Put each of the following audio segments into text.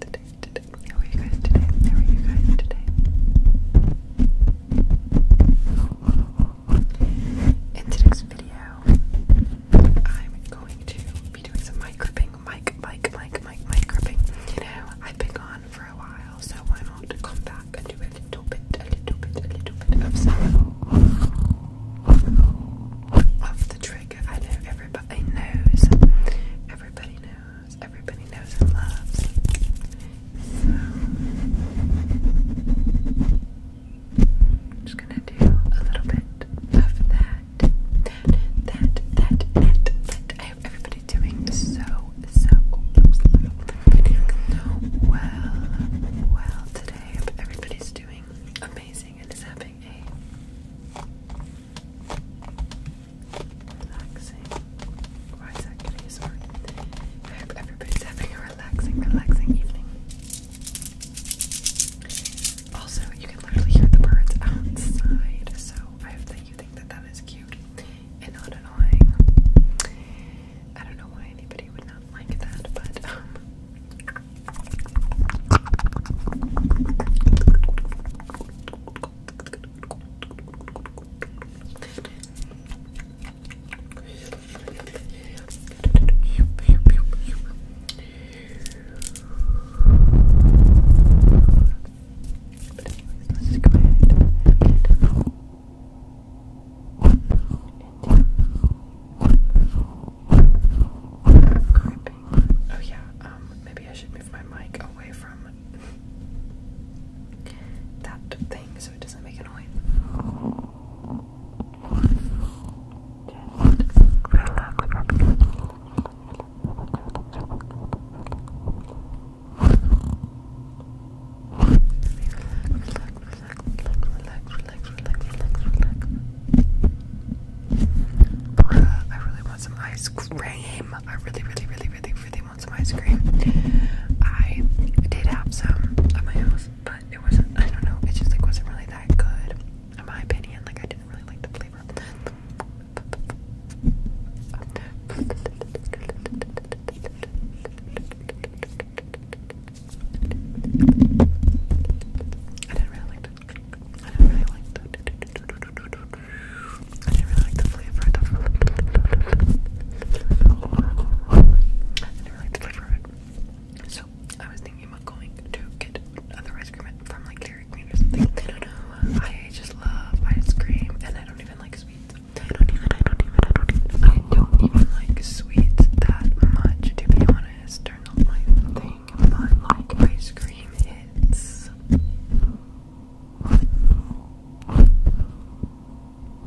today, today. How you guys today? How are you guys today? In today's video, I'm going to be doing some mic gripping, mic, mic, mic, mic, mic gripping. You know, I've been gone for a while, so why not come back and do a little bit, a little bit, a little bit of some of the trigger. I know everybody knows. Everybody knows everybody knows and loves. So, just gonna do a little bit of that. That, that, that, that, I hope everybody's doing so, so, well, well today. everybody's doing amazing and is having a relaxing. Rise activities or I hope everybody's having a relaxing, relaxing evening. Also, you can literally hear the birds outside, so I hope that you think that that is cute and not annoying. I don't know why anybody would not like that, but um, Let's just go ahead and Gripping Oh yeah, um, maybe I should move my mic away from that thing so it doesn't make a noise. Relax, relax, relax, relax, relax, relax, relax, relax. Bruh, I really want some ice cream. I really, really, really, really, really want some ice cream. I did have some at my house, but it wasn't, I don't know, it just like wasn't really that good, in my opinion. Like, I didn't really like the flavor. I didn't really like the I didn't really like the flavor I didn't really like the flavor So I was thinking about going to get other ice cream from like Dairy Queen or something. I don't know. I just love ice cream and I don't even like sweets. I don't even I don't even I don't even like sweets that much to be honest. They're not my thing. But like ice cream minutes.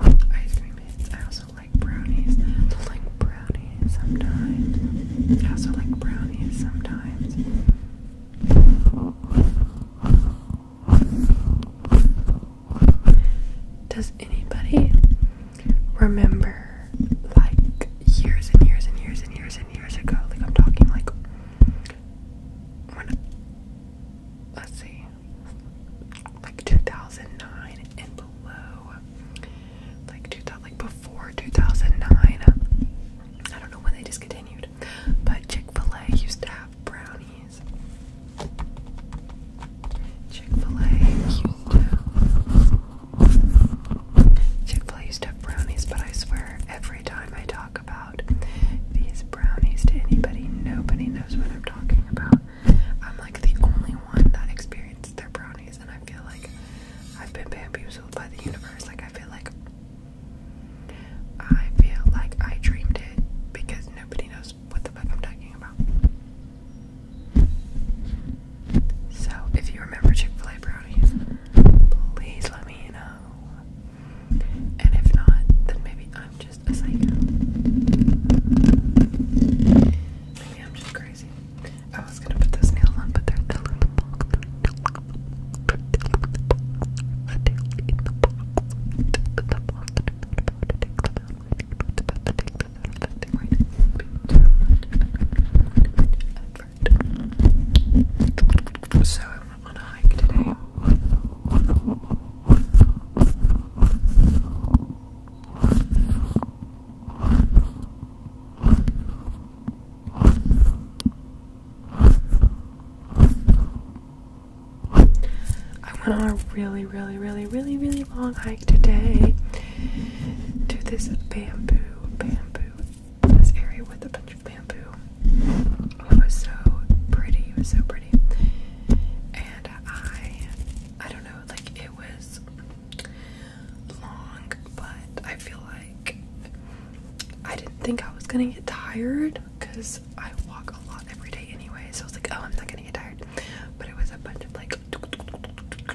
I three I also like brownies. I like brownies sometimes. I also like brownies sometimes. Does anybody remember like years and years and years and years years ago. Like I'm talking like let's see, like 2009 and below, like 2000, like before 2009. I don't know when they discontinued, but Chick Fil A used to have brownies. Chick Fil A used to. Chick-fil-A used to brownies, but I swear every time I talk about these brownies to anybody, nobody knows what I'm talking about. I'm like the only one that experienced their brownies, and I feel like I've been bamboozled by the universe. Like I feel like I feel like I dreamed it because nobody knows what the fuck I'm talking about. So, if you remember Chick fil A brownies, please let me know. And if not, then maybe I'm just a psycho. Maybe I'm just crazy. I was gonna put those nails on, but they're still in so I went on a hike today. I went on a really, really, really, really, really long hike today to this bamboo, bamboo, this area with a bunch of bamboo. Oh, it was so pretty. It was so pretty. And I, I don't know, like it was long, but I feel like I didn't think I was gonna get tired because I walk a lot every day anyway. So I was like, oh, I'm not gonna get tired. But it was a bunch of like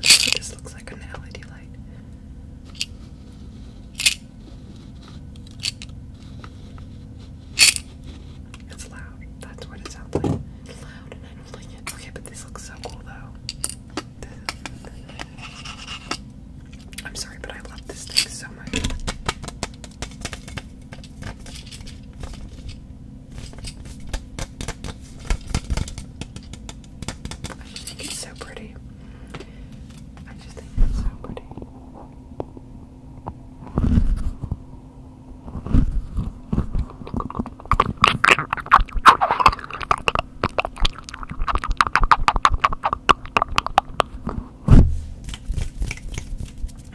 this looks like an LED light. It's loud. That's what it sounds like. loud and I don't like it. Okay, but this looks so cool though. I'm sorry, but I love this thing so much. I just think it's so pretty. I just think it's so pretty.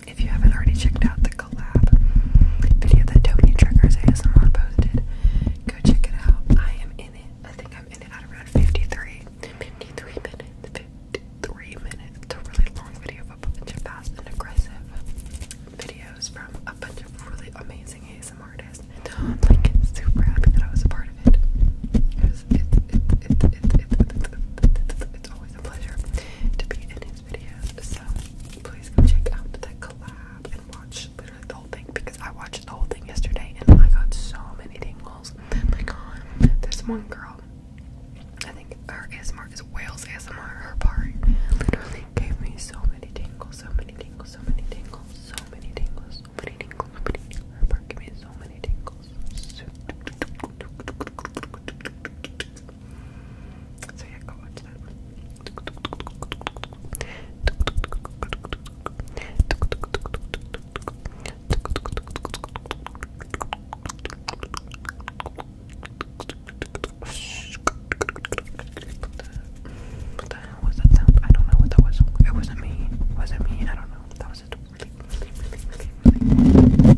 If you haven't already checked out the collab video that Tony Triggers ASMR posted, go check it out. I am in it. I think I'm in it at around 53, 53 minutes, 53 minutes. It's a really long video of a bunch of fast and aggressive videos from a bunch of really amazing ASMR artists. And I'm like super happy that I was a part of it. It's, it's, it's, it's always a pleasure to be in it these videos, so please go check out that collab and watch literally the whole thing because I watched the whole thing yesterday and I got so many tingles. Like, there's one girl, I think her ASMR is Wales ASMR, her part literally gave me so many tingles, so many tingles, so many tingles, so many tingles, so many tingles, so many tingles. Her part gave me so many tingles. So so yeah, go watch that one. What the hell was that sound? I don't know what that was. It wasn't me. Was it me? I don't know. That was it. Really, really, really, really, really.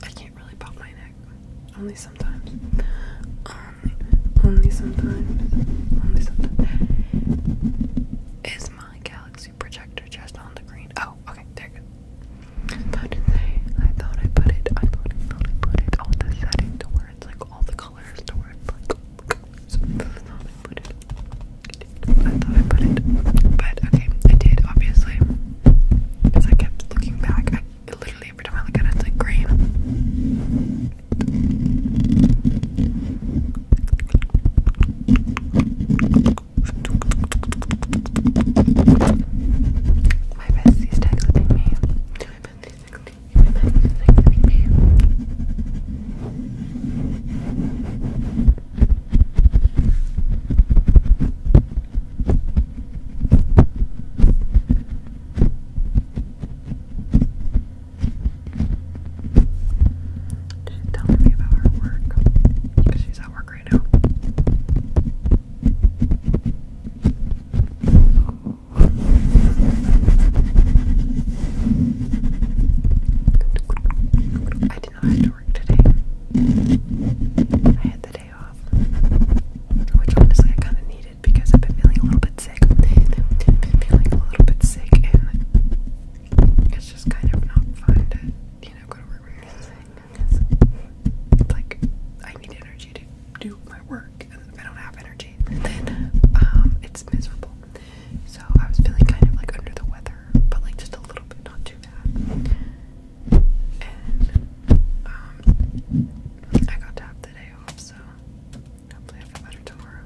I can't really pop my neck. Only sometimes. Um, only, sometimes. Only sometimes. Is my galaxy projector just on the green? Oh, okay, there you go. About to say, I thought I put it, I thought I put it on the setting to where it's like all the colors to where it's like I thought I put it. I thought I put it. But okay, I did obviously. Because I kept looking back. I, literally, every time I look at it, it's like green. My bestie's texting me. My bestie's texting me. My bestie's texting me. Didn't me about her work she's at work right now. I did not have to work today. I had the day day off, which I kind of needed because I've been feeling a little bit sick. I've feeling a little bit sick, and it's just kind of not fun to, you know, go to work when you're sick. It's like I need energy to do my work, and if I don't have energy, um, it's miserable. So I was feeling kind of like under the weather, but like just a little bit, not too bad. Um, I got to have the day off, so hopefully I feel better tomorrow.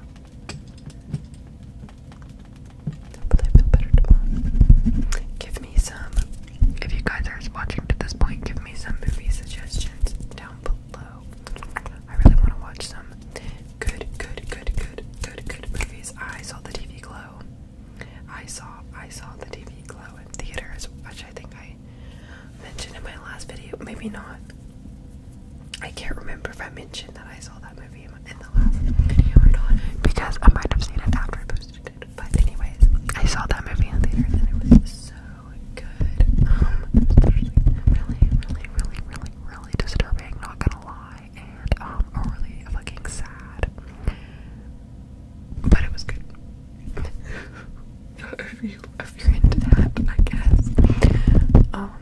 Hopefully I feel better tomorrow. Give me some, if you guys are watching to this point, give me some movie suggestions down below. I really want to watch some good, good, good, good, good, good movies. I saw the TV glow. I saw I saw the TV glow in theaters, which I think I mentioned in my last video. Maybe not. I can't remember if I mentioned that I saw that movie in the last video or not because I might have seen it after I posted it. But anyways, I saw that movie in theaters and it was so good. Um, really, really, really, really, really, really disturbing. Not gonna lie, and um, really fucking sad. But it was good. if you are into that, I guess. Um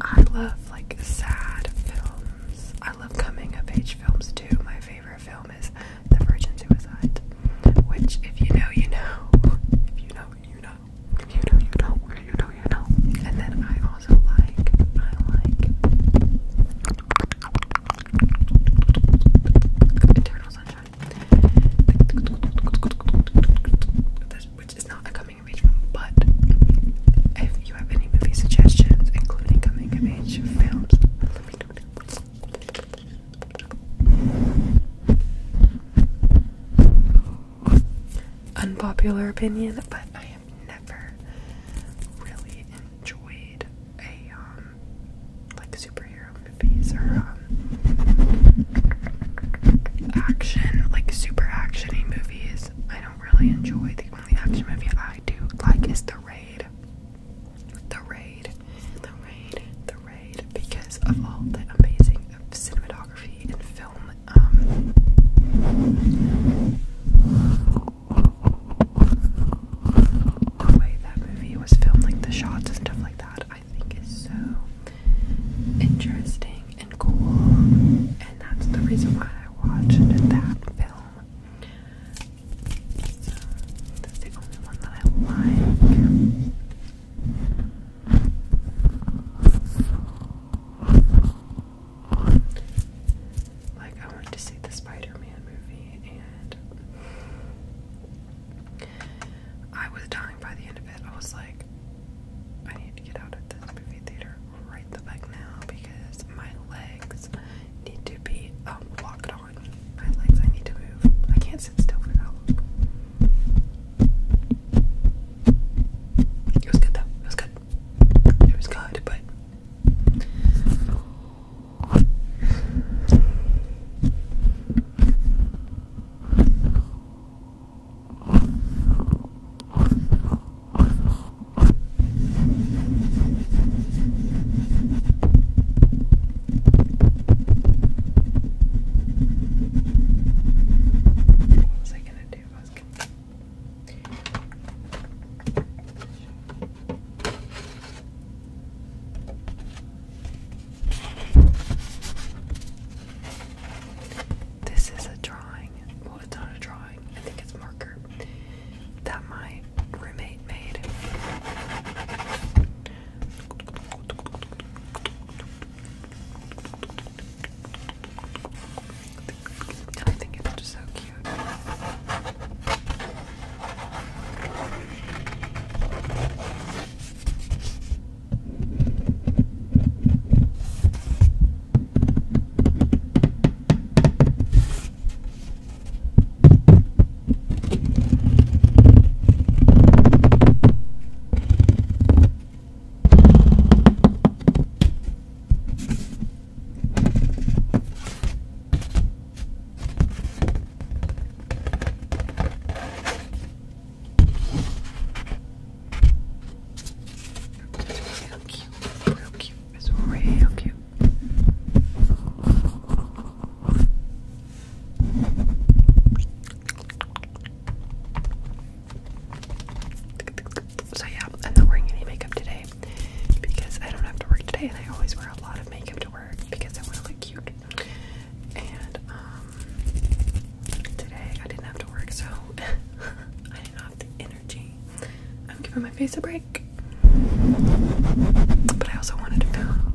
I love like sad films. I love coming of age films too. My favorite film is The Virgin Suicide. Which if you know you know. If you know you know. If you know you know. You know you know. And then I also which is not a coming of age film, but if you have any movie suggestions, including coming of age films, Unpopular opinion, but I am i never really enjoyed a um like superhero movies or um action like super actiony movies. I don't really enjoy the only action movie I do like is The Raid. The Raid, The Raid, The Raid because of all the amazing cinematography and film um, the way that movie was filmed, like the shots and stuff like that, I think is so interesting and cool. And that's the reason why I watched that film. that's the only one that I like. Like, I went to see the Spider Man movie, and I was dying by the end of it. I was like, I need to get out of this movie theater right the back now because my legs need to be um, locked on. My legs, I need to move. I can't sit still for that long. It was good though. It was good. It was good, but what was I gonna do? was gonna this is a drawing. Well, it's not a drawing. I think it's marker that my roommate made. I think it's just so cute. Real cute, real cute, it's real cute. So yeah, I'm not wearing any makeup today because I don't have to work today, and I always wear a lot of makeup to work because I want to look cute. And um, today I didn't have to work, so I didn't have the energy. I'm giving my face a break, but I also wanted to film.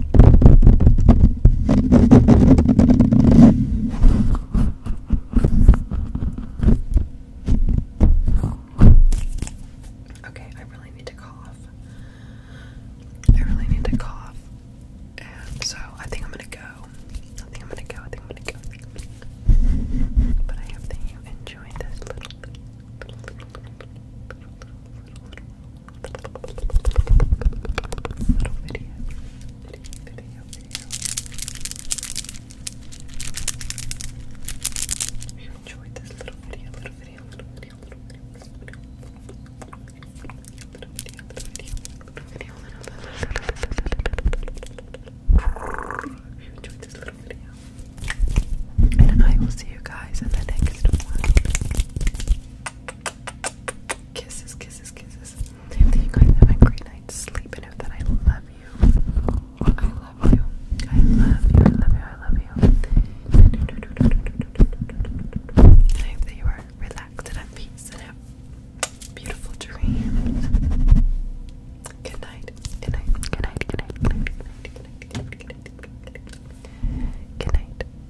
Okay, I really need to cough. I really need to cough. And so I think I'm gonna go. I think I'm gonna go. I think I'm gonna go. But I hope that you enjoyed this little, little, little video, video, video, video. If you enjoyed this little video, little video, little video, little video, little video, little video, little video, little video, little video. If you enjoyed this little video. And I will see you guys in the next one. Kisses, kisses, kisses. I hope that you guys have a great night's sleep and that I love you. I love you. I love you. I love you. I love you. I hope that you are relaxed and at peace and have beautiful dreams. Good night. Good night. Good night. Good night. Good night. Good night. Good night.